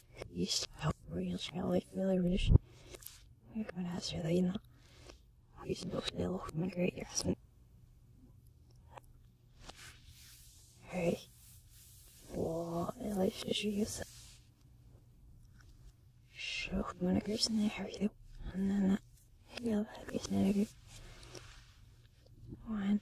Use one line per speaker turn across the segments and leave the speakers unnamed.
real いいし、よ、いいし、よ、いいし、よ、いいし。You're gonna ask for that, you know. You should go still, my great grandson. Hey. Well, at least you should use it. Show my great son, how are you? And then, uh, you'll have a One.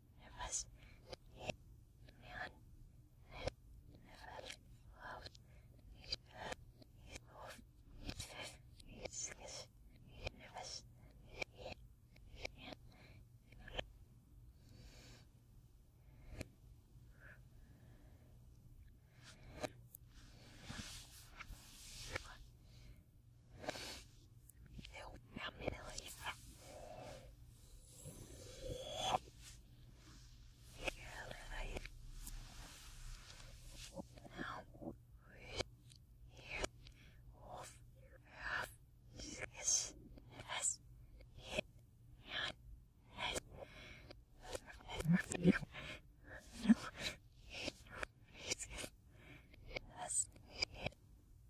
It was neon. It never loved. He's bad. He's off. He's fifth. He's six. He's nervous. He's Help me to leave elevate. Now we hear of half this has hit and has no it has hit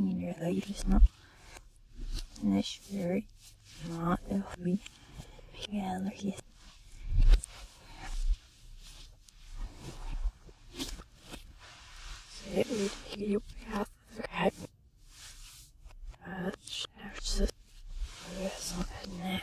Niederledersna Nashbury Not the Hobby Gallery Sehr gut, Herzlichkeit. Schnellstes Lösung ne.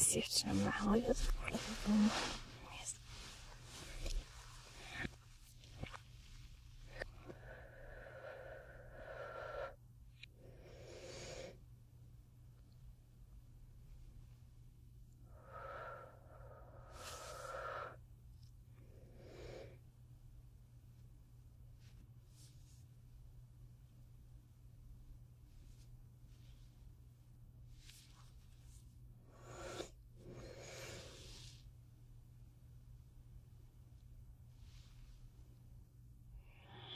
Sierra is horrible.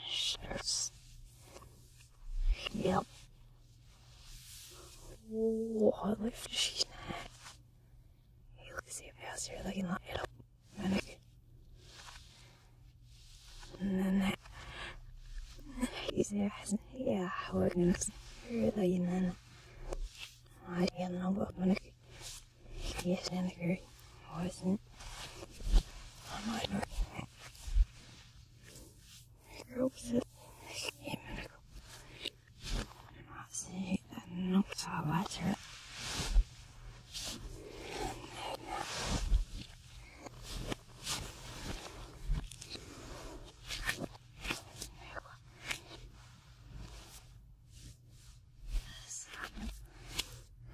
Shivers. Yep. What she's not. 이렇게 배웠어요. 여기 나 이렇게 만약에 나나 이제 하신 해야 하고 그래서 나는 아니야 나 만약에 yes and agree wasn't I'm not Oops. Yeah, miracle. That's it. That knocked our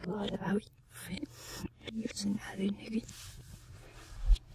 What about it? Using having again.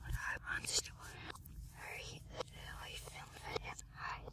what I want to do. Hurry, really film that and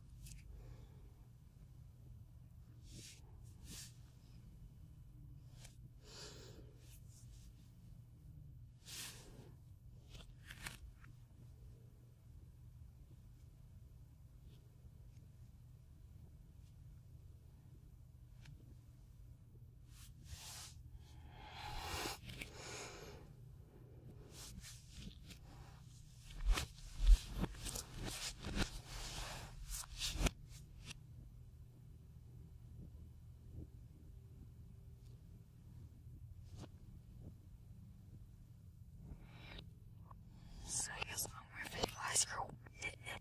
so I guess I'm gonna visualize your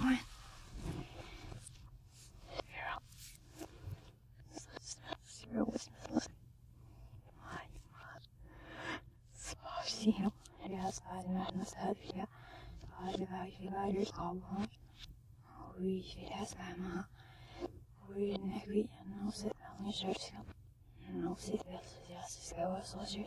one, zero. So zero was one. Спасибо. Я садина на садия. Садия фигари кабан. Уи филя сама. Уи неги но се там жертва. Но се я се става сложи.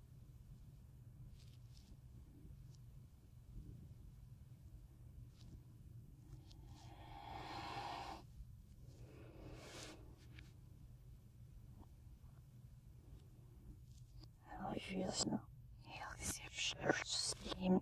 Серьезно. Я вообще с ним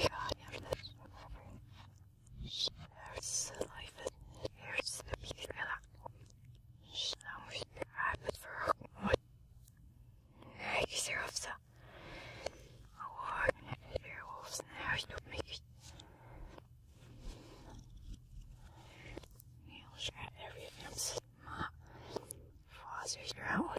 God, yeah, that's There's a life in here's the big villa. Now we grab it for what? Kijk eens hier of ze. Oh, weer of ze naar huis doet mee. Heel scherp, er weer hem zit, maar. Vader is er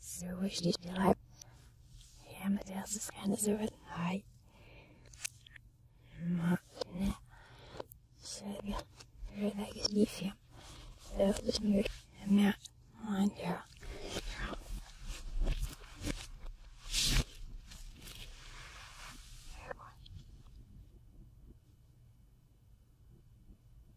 ずるいしてない。やめてやすすかにする。はい。まあ、ね。それが、それだけいいし。それをする。ね。まあ、じゃあ。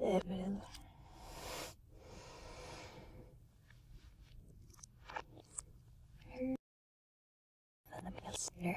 Devil. Sana biraz sinir.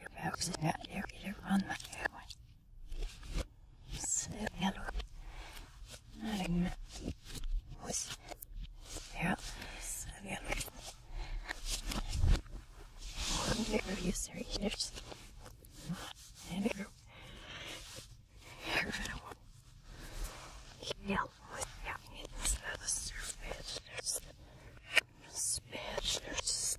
Hypoxia located on the airway. Sleep yellow. Malignant. Was. Yeah. Severe. One bigger user eaters. And a group. Yeah. Spiders. Spiders.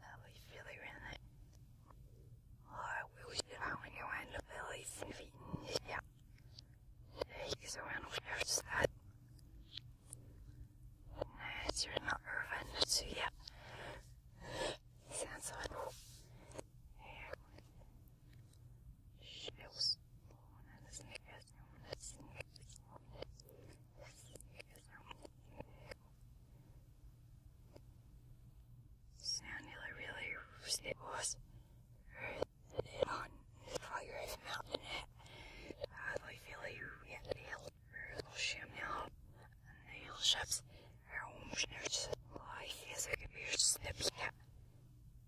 That was really really Laura will down when you end up really Yeah. He's around where's that? Nice, you're not urban, so yeah. Sounds so she was born in Sanula really it was it on fire mountain I like really it held shamnel nail ships her own like his computer snips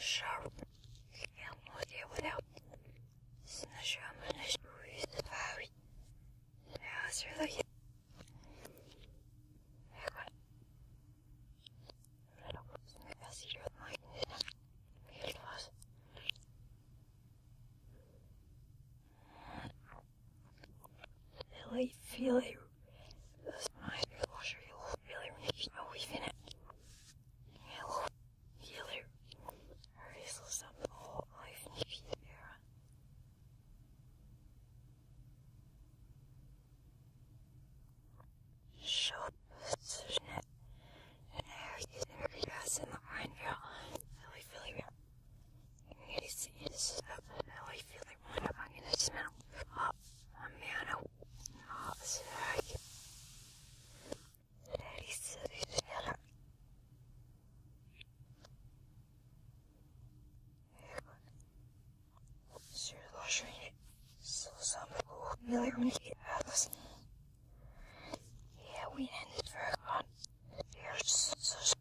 Sharp, я мог его дал. Сначала мы начали увидеть твари. Я отсюда еду. Really, really, this my washer, really making a weave in it. Hello, healer. Erase this up the whole life in the era. Show position it, and there is in the grass in the pine barrel. Really, really, really. Eles, eles, oi, filho, muita máquina de mel. Ó, a minha não. Nossa, ai. Larissa, ela. Сложение самого миллионники атлас. Yeah, we ended work on. There's such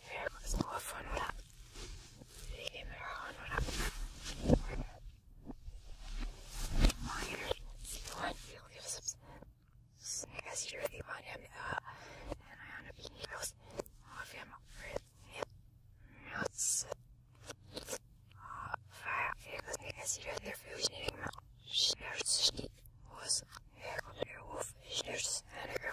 wir hören uns nur von, oder? Wir geben hören, oder? One, zero, zero, six. Snackers, you really want him, uh, and I end up eating those. All of him, nuts. Uh, fire, because Snackers, you really are fusioning him. Schnips, was, there, Wolf, Schnips, and a girl.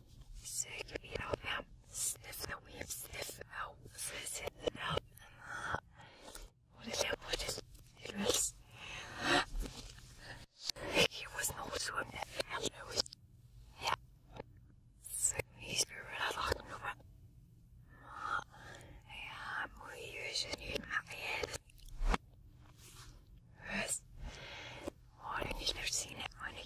Sug it all out. Sniff the weave. Sniff out. Sniff it out. What is it? What is it? It was. It was not so bad. It Yeah. Sug me spirit. I like no one. Yeah, we use it in my head. Yes. Oh, I've never seen it, honey.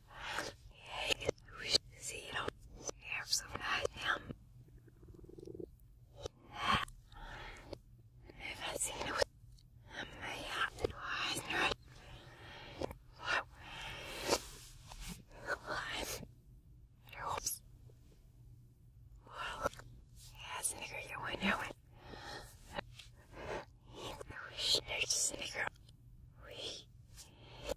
zero hairs of him. Never seen it. May have to hide. Oops. Well, yes, nigger, you I know it. We should snicker. We.